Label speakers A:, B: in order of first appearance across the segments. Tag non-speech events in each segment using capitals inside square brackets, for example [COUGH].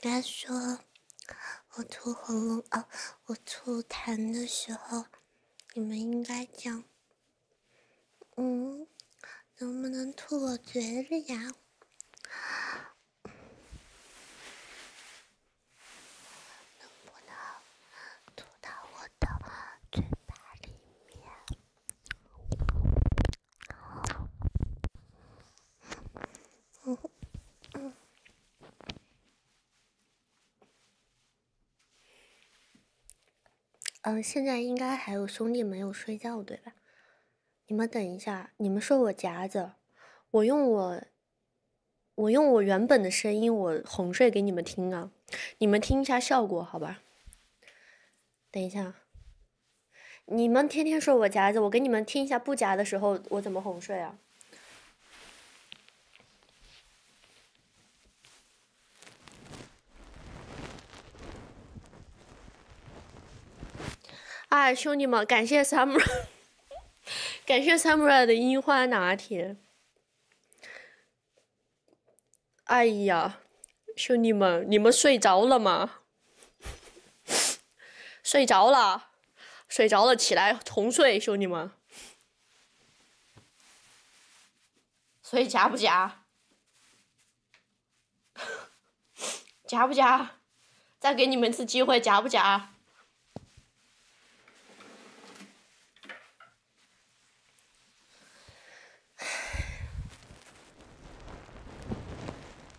A: 他说：“我吐喉咙，啊，我吐痰的时候，你们应该讲，嗯，能不能吐我嘴里呀？能不能吐到我
B: 的嘴巴里面？”嗯，
A: [LAUGHS] 现在应该还有兄弟没有睡觉对吧？你们等一下，你们说我夹子，我用我，我用我原本的声音，我哄睡给你们听啊，你们听一下效果好吧？等一下。你们天天说我夹子，我给你们听一下不夹的时候我怎么哄睡啊！哎，兄弟们，感谢 summer，[LAUGHS] 感谢 summer 的樱花拿铁。哎呀，兄弟们，你们睡着了吗？[LAUGHS] 睡着了，睡着了，起来重睡，兄弟们。所以加不加？加 [LAUGHS] 不加？再给你们一次机会，加不加？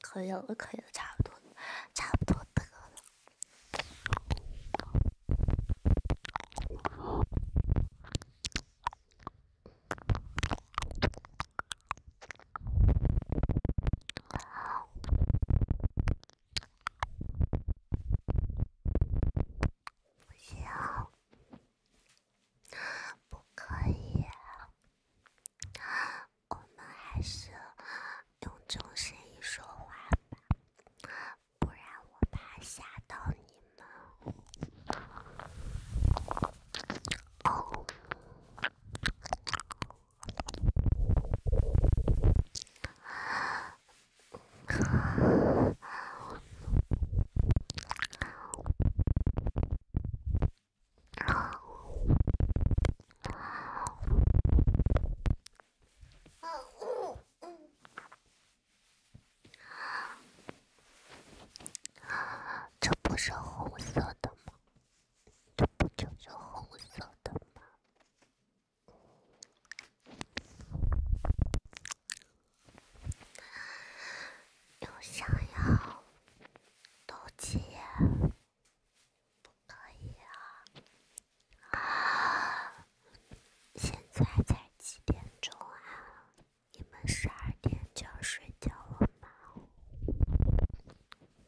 A: 可以了，可以了，差不多，差不多得了。
B: 行。不可以，我们还是用中声音说话吧，不然我怕吓到你们。哦。这不是红色的吗？这不就是红色的吗？又想要斗气，不可以啊！现在才几点钟啊？你们十二点就要睡觉了吗？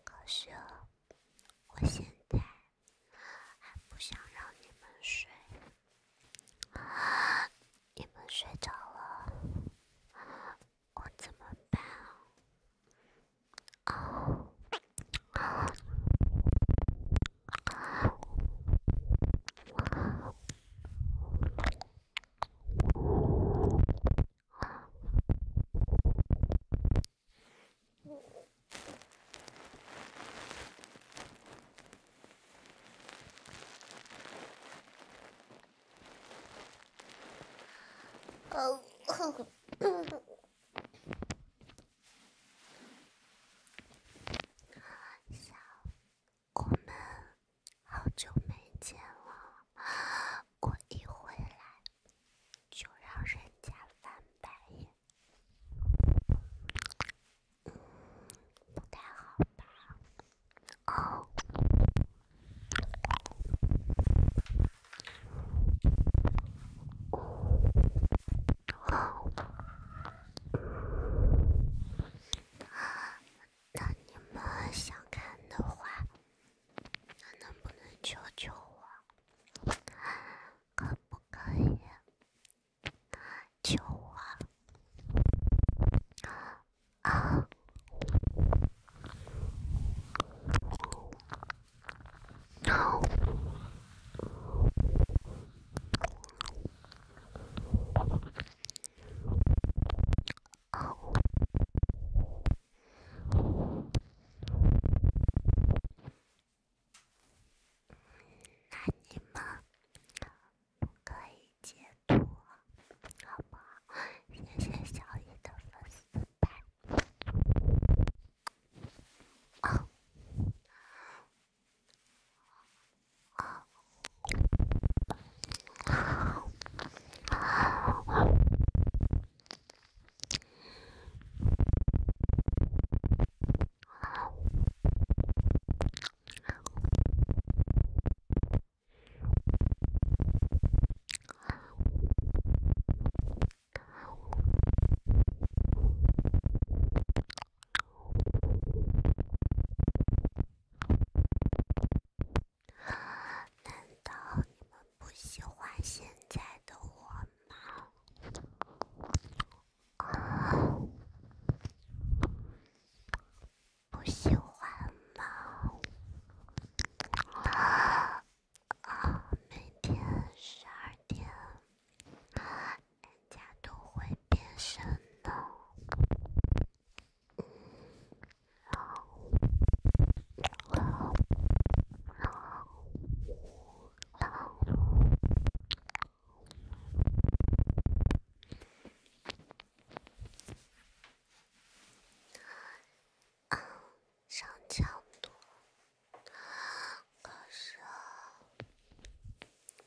B: 可是我现在还不想让你们睡，你们睡着了。我怎么办啊？哦，我们好久没见了，我一回来就让人家翻白眼，不太好吧？哦，那你们想看的话，那能不能求求我？可不可以求我？那你们可以接。多，好不好？谢谢小雨的粉丝牌。啊。难道你们不喜欢现在的我吗？不喜欢吗？啊，每天十二点，人家都会变身呢。然后，然后，然后。上强度，可是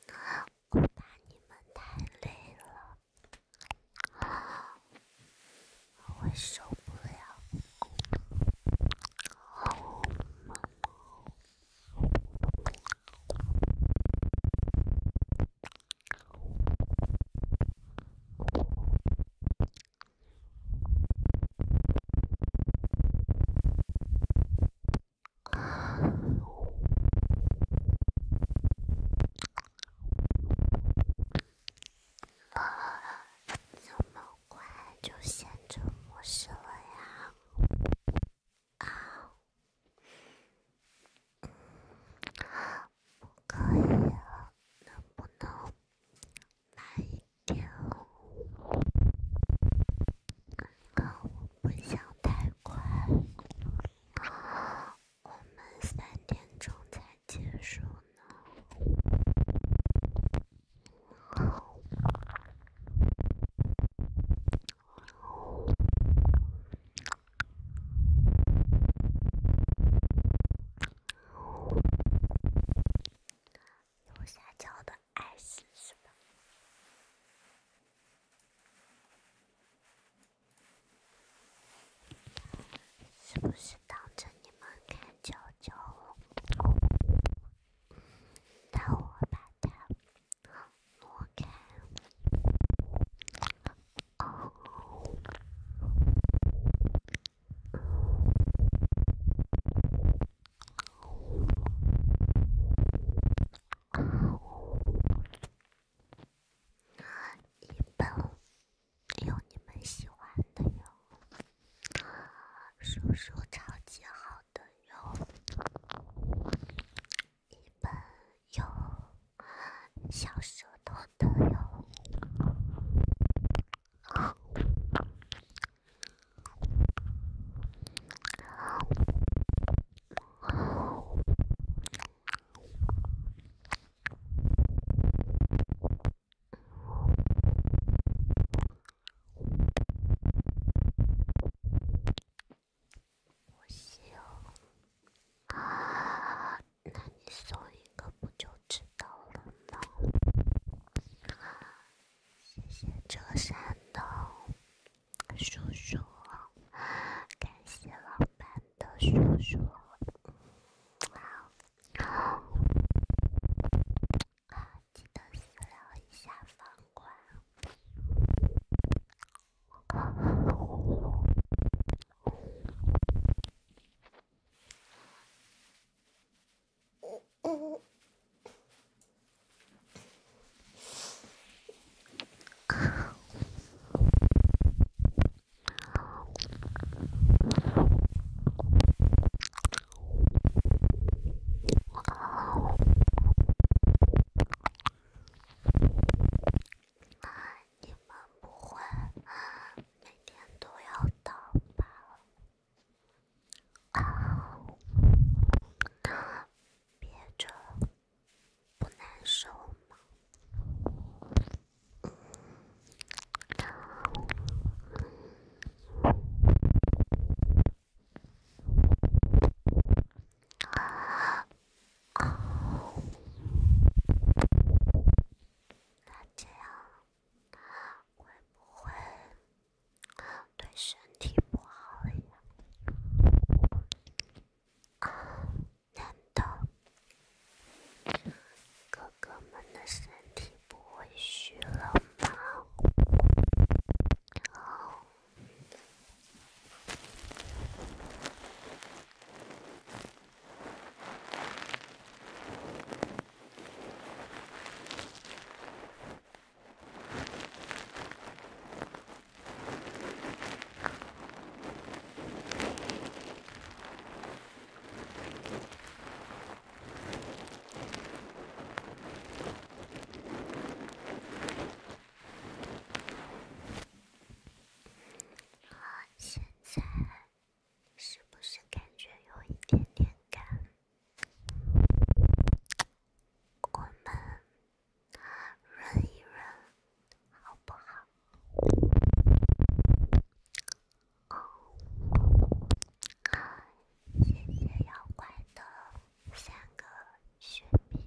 B: 我怕你们太累了，我受不了。怎么快就先沉默式了呀？啊！不可以，能不能慢一点？啊，我不想太快，我们三点钟才结束呢，好吗？右下角的爱是吧？是不是挡着你们看舅舅？那我把它挪开。一本有你们喜欢的哟，书书超级好的哟，一本。有小舌头的哟。我笑啊！那你送一个不就知道了吗？谢谢浙山东叔叔，感谢老板的叔叔。好，好，记得私聊一下房管。你们不会啊？每天都要倒班，啊，憋着不难受吗？啊，啊。那这样会不会对身体不好呀？难道哥哥们的身体不会虚了吗？现在。是不是感觉有一点点干？我们润一润，好不好？哦，谢谢妖怪的三个血瓶。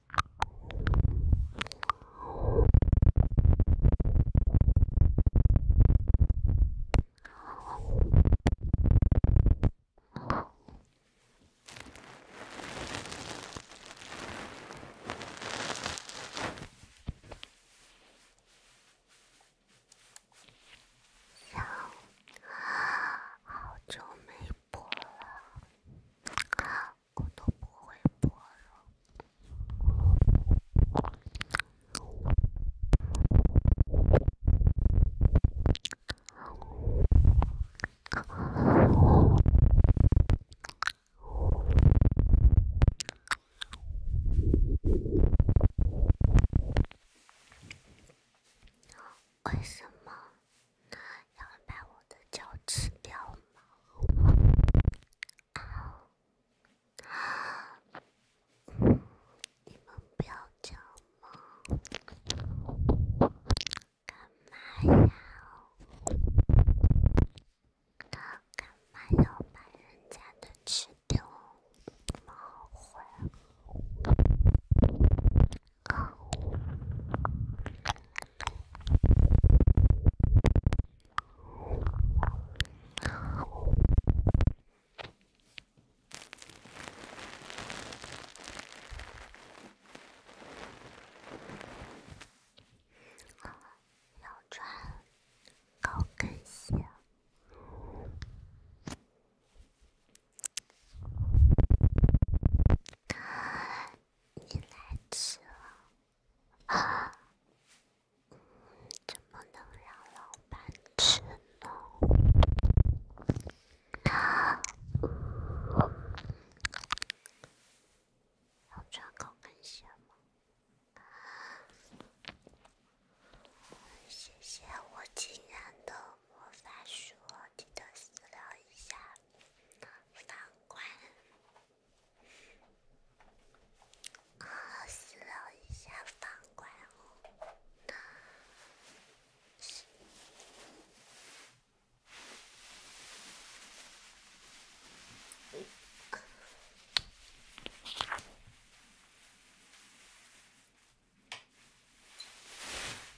B: 好，久没播了。我都不会播了，为什么？要把我的脚吃掉吗？你们不要这样吗？干嘛呀？干干嘛要把人家的吃掉？你们后要穿高跟鞋。你来迟了，啊，怎么能让老板吃呢？要穿高跟鞋吗？谢谢我亲爱的。魔法书，记得私聊一下房管。啊，私聊一下房管哦。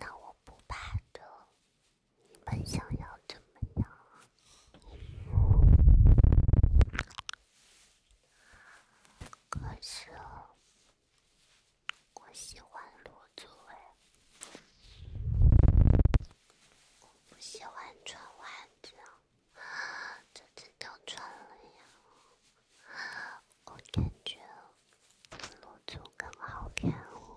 B: 那我不怕的。你们想要怎么样？可是，我喜欢露足哎，我不喜欢穿袜子，这次都穿了呀。我感觉露足更好看哦。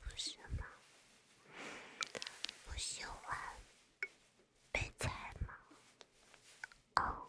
B: 不是吗？不喜欢被踩吗？哦。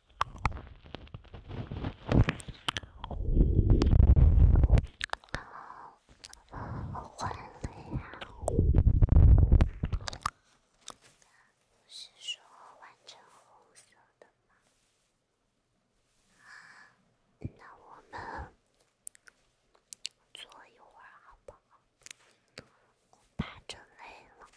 B: 婚礼呀，不是说换成红色的吗？那我们坐一会儿好不好？我怕着累了。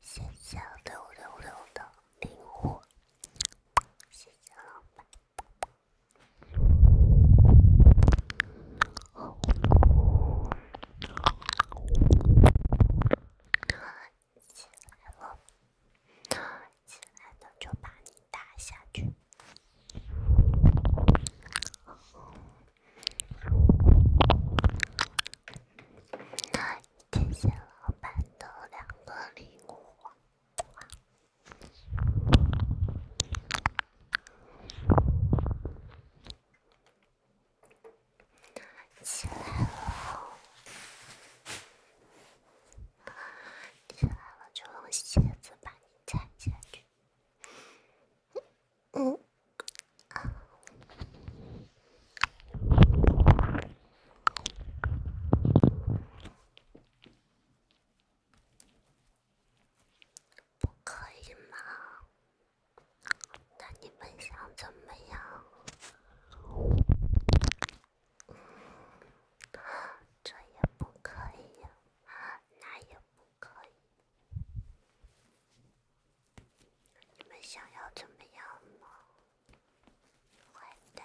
B: 谢谢六六六的灵魂，谢谢老板。起来了，起来了就把你打下去。谢谢老板的两个礼物。起来了，起来了就用鞋子把你踩下去。嗯。不可以吗？那你们想怎么样？这也不可以，那也不可以。你们想要怎么样呢？坏蛋。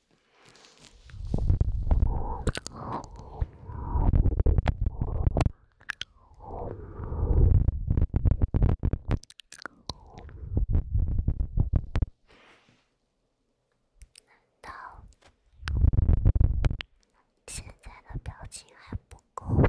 B: 难道现在的表情还不够吗？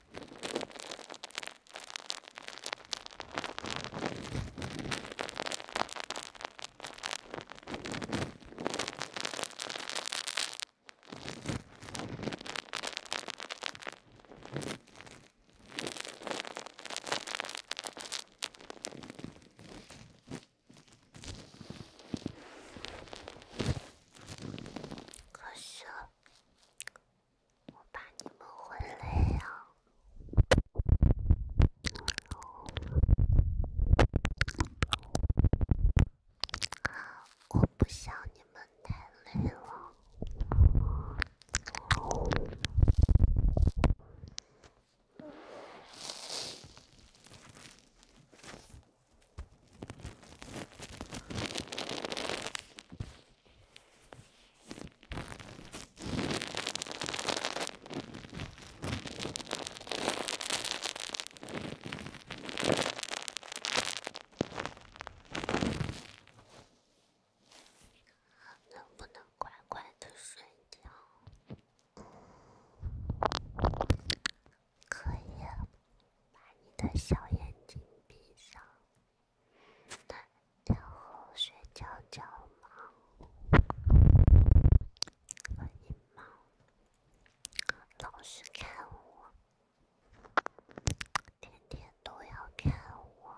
B: 可是。我怕你们会累呀。我不想你们太累了。能不能乖乖的睡觉？可以，把你的小眼睛闭上。那让我睡觉觉吗？可以吗？老是看我，天天都要看我。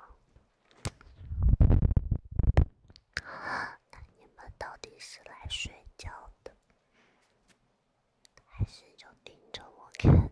B: 那你们到底是来睡觉的，还是就盯着我看呢？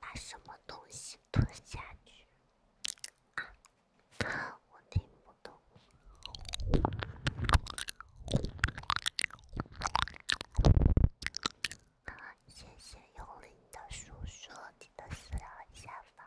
B: 把什么东西吞下去？啊，我听不懂。谢谢幽灵的叔叔，记得私聊一下方。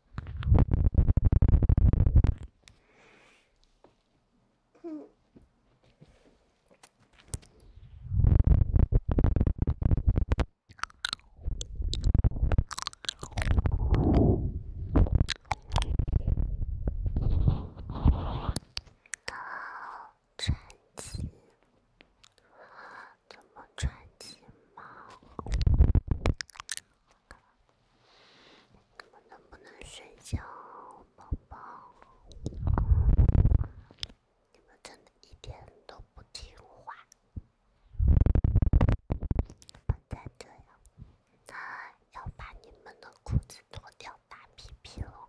B: 那穿起，怎么穿起嘛？你们能不能睡觉，宝宝？你们真的一点都不听话！再这样，那要把你们的裤子脱掉打屁屁喽！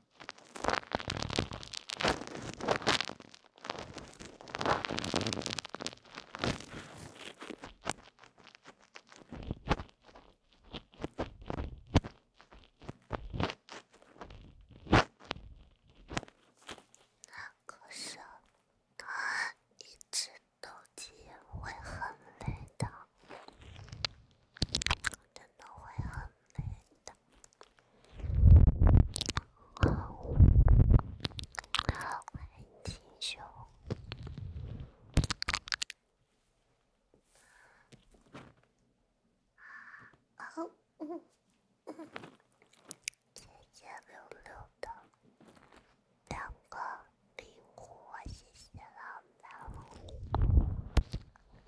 B: 可是，一直斗鸡会很累的，真的会很。蓝的，好，很清秀，好，嗯嗯，结结溜溜的，两个灵活，谢谢老板。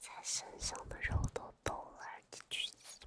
B: 在身上的肉都抖了，而且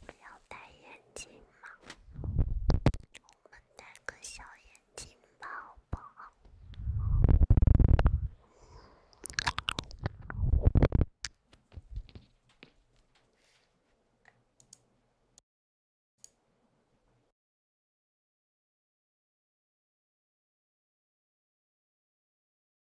B: 不要戴眼镜吗？我们戴个小眼镜吧，好不好？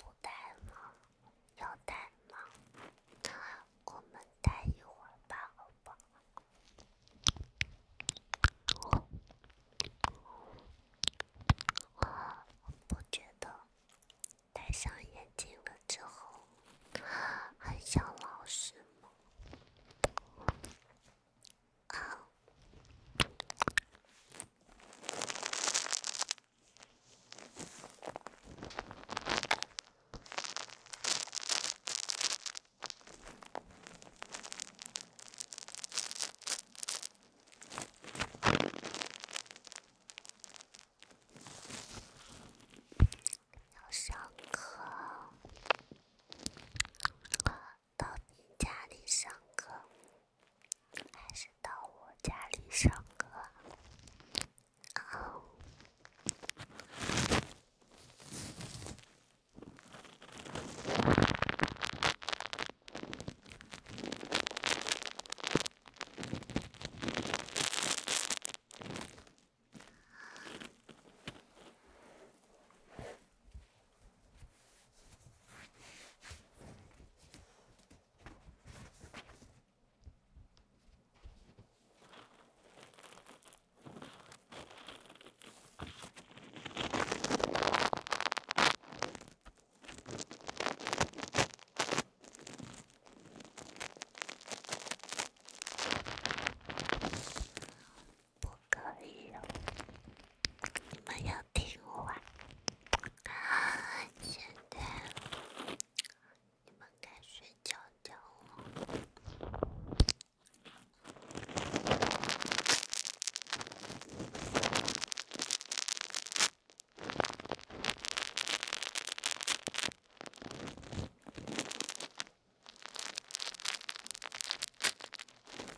B: 不戴吗？要戴吗？我们戴一会儿吧，好吧？我，我不觉得，戴上眼镜了之后，很像老师吗？要上课。到你家里上课，还是到我家里上课？不可以哦。你们要听话，现在你们该睡觉觉了。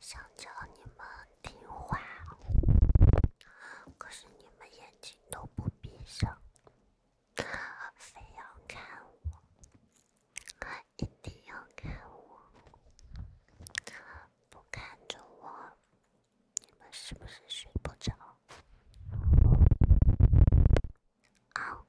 B: 想叫你们听话，可是你们眼睛都不闭上，非要看我，一定要看我，不看着我，你们是不是睡不着？啊！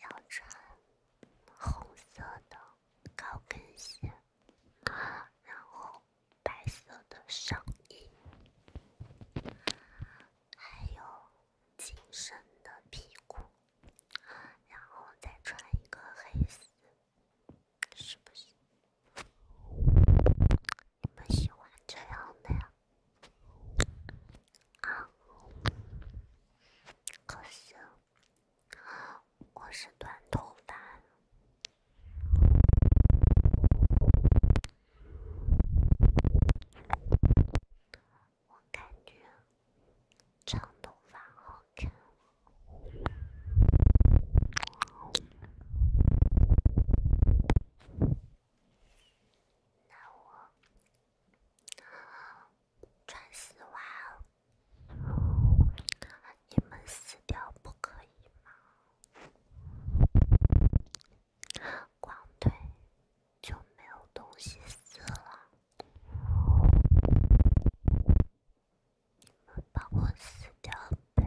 B: 要穿红色的高跟鞋。然后白色的上衣，还有紧身的皮裤，然后再穿一个黑色，是不是？你们喜欢这样的呀？啊？可是我是短头发。我感觉长头发好看。那我穿丝袜，你们撕掉不可以吗？光腿就没有东西撕了，你们帮我撕掉呗。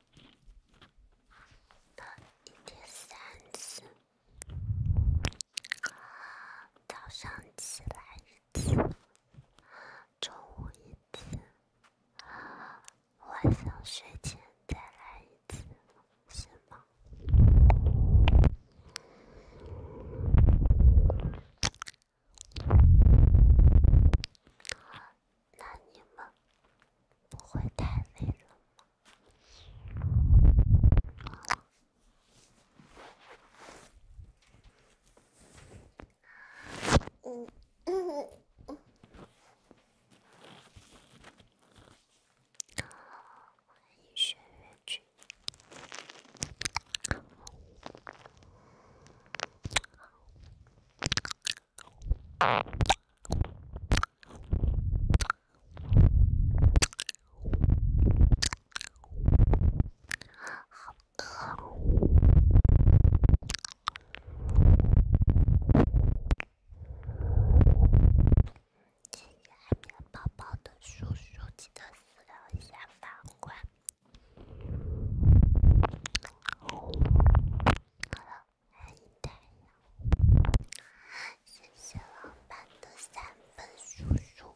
B: 一天三次，早上起来一次，中午一次，晚上睡前再来一次，行吗？那你们不会太累了吗？嗯嗯嗯。喜欢海绵宝宝的叔叔，记得私聊一下反馈。Hello，欢迎太阳，谢谢老板的三本书书。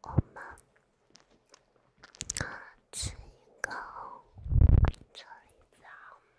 B: 我们吃一个臭豆腐吗？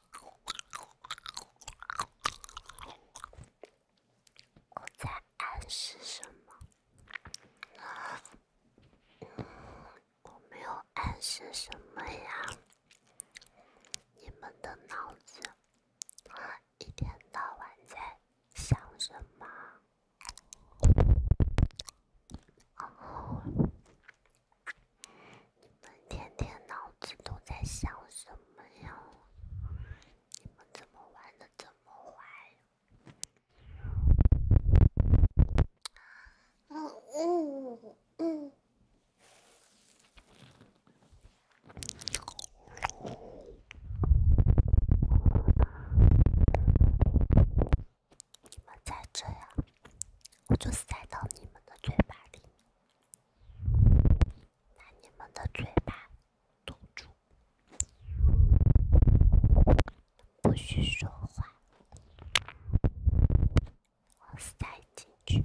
B: 我在暗示什么？我没有暗示什么呀？你们的脑子一天到晚在想什么？你们天天脑子都在想什么呀？你们怎么玩的这么坏？这样。我就塞到你们的嘴巴里，把你们的嘴巴堵住，不许说话，我塞进去。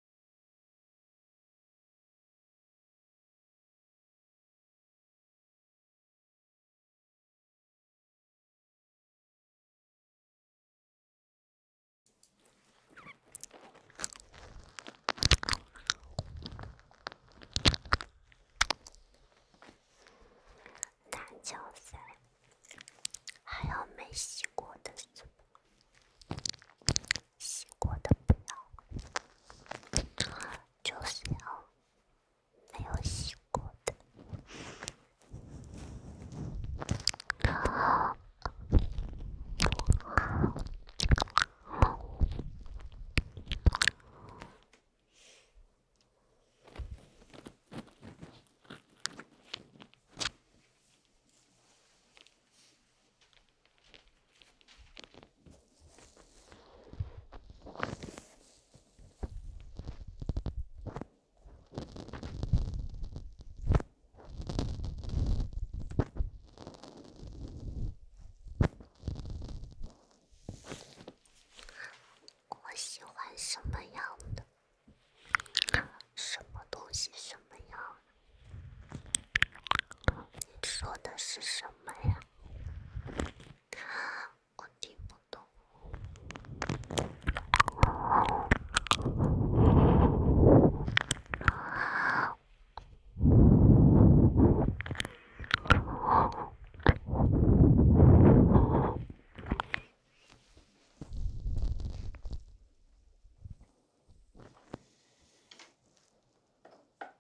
B: 男胶塞，还有没洗过的？洗过的不要，就是要没有洗过的。好，好，梦。我喜欢什么样的？什么东西什么样？你说的是什么呀？我听不懂。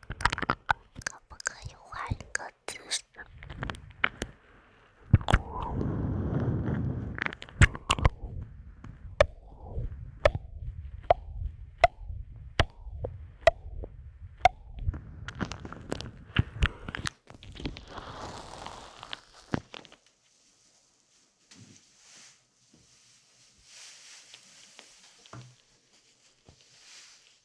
B: 可不可以换一个姿势？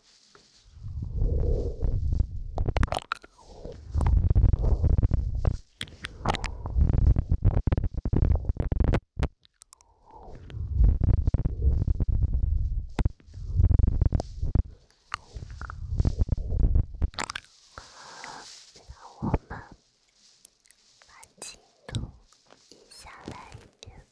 B: 那我们把镜头移下来一点。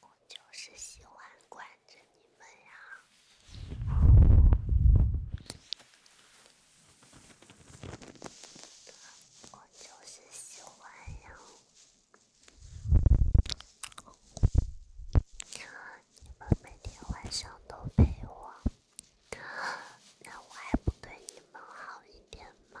B: 我就是喜欢管着你们呀，我就是喜欢呀，你们每天晚上都陪我。那我还不对你们好一点吗？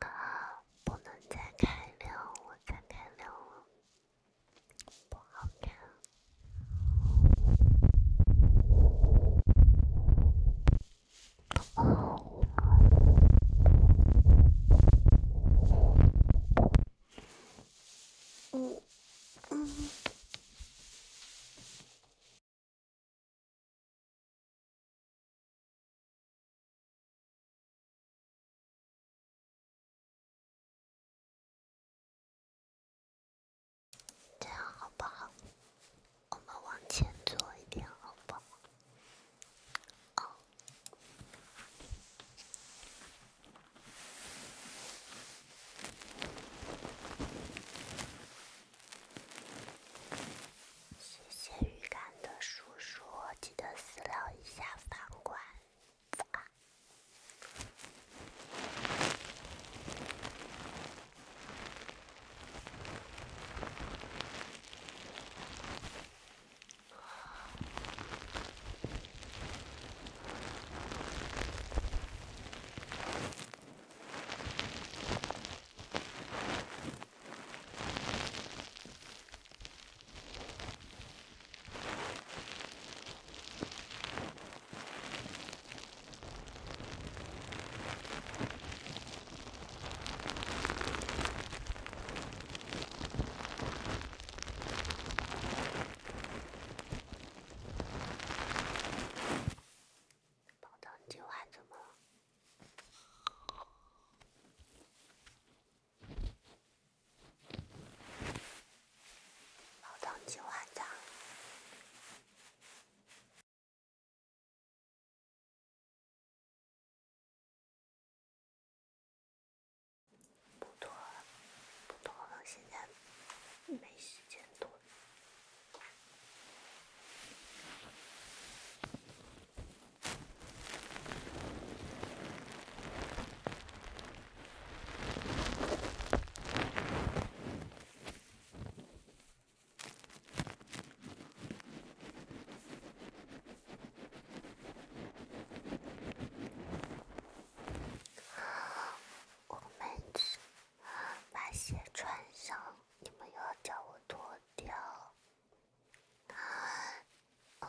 B: 啊！不能再开亮，我再开亮了，不好看。嗯嗯。这样好不好？我们往前坐一点，好不好？啊。谢谢鱼干的叔叔，记得私聊一下房管。宝，今晚怎么了？老唐，今晚的不脱了，不脱了，现在没时间脱。我们把鞋穿上，你们又要叫我脱掉。哦，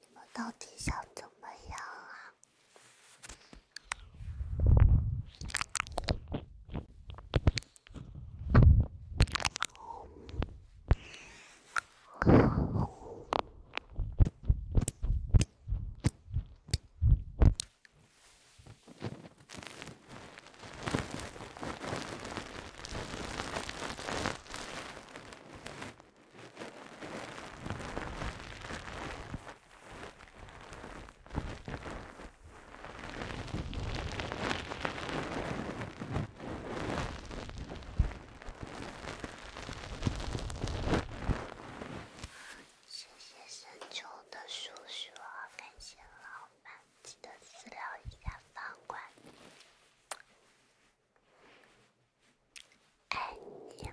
B: 你们到底想怎么样啊？谢谢深秋的叔叔，感谢老板。记得私聊一下房管，爱你。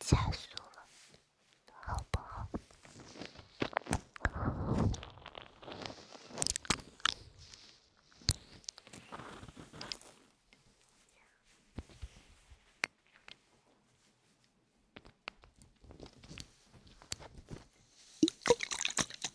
B: 加速了，好不好？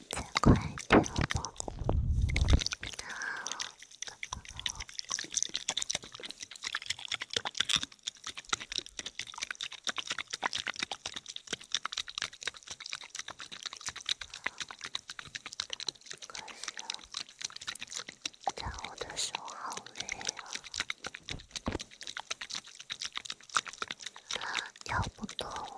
B: 再快点吧，那可是，抓我的手好累啊，跳不动了。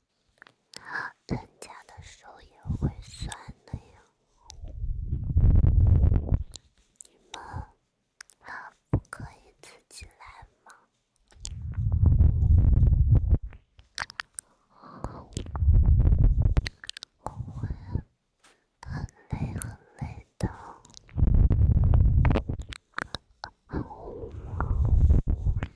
B: 人家的手也会酸的呀，你们不可以自己来吗？我会很累很累的。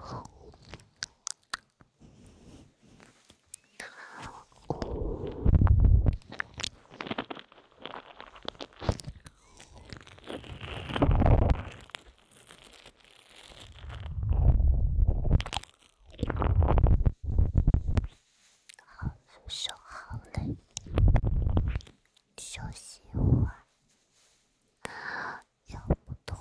B: 好，休息会。いやもうど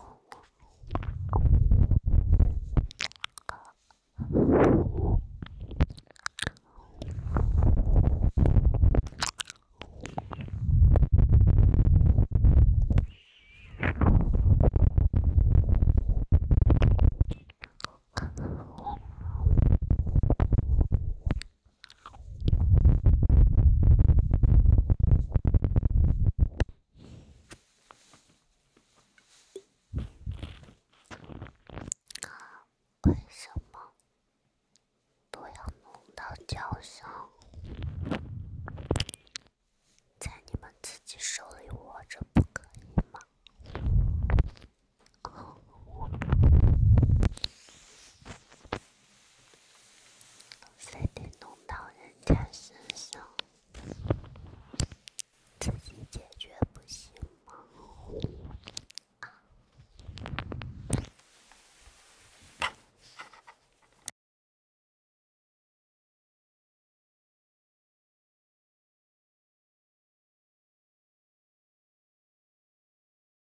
B: 为什么都要弄到脚上？在你们自己手里握着不可以吗？非得弄到人家身上，自己解决不行吗？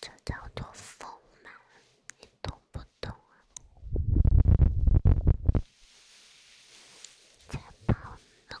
B: 这叫做丰满，你懂不懂啊？再抱我。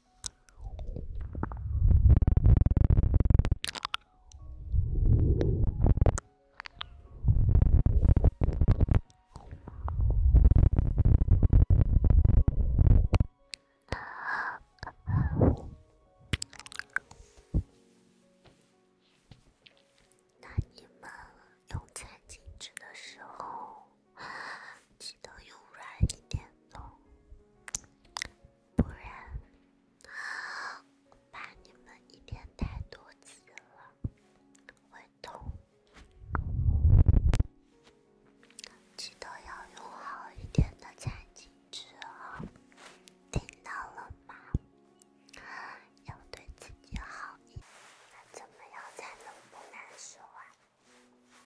B: 那你们用餐巾纸的时候？记得用软一点的，不然怕你们一天太多次了会痛。记得要用好一点的餐巾纸哦，听到了吗？要对自己好一点，那怎么样才能不难受啊？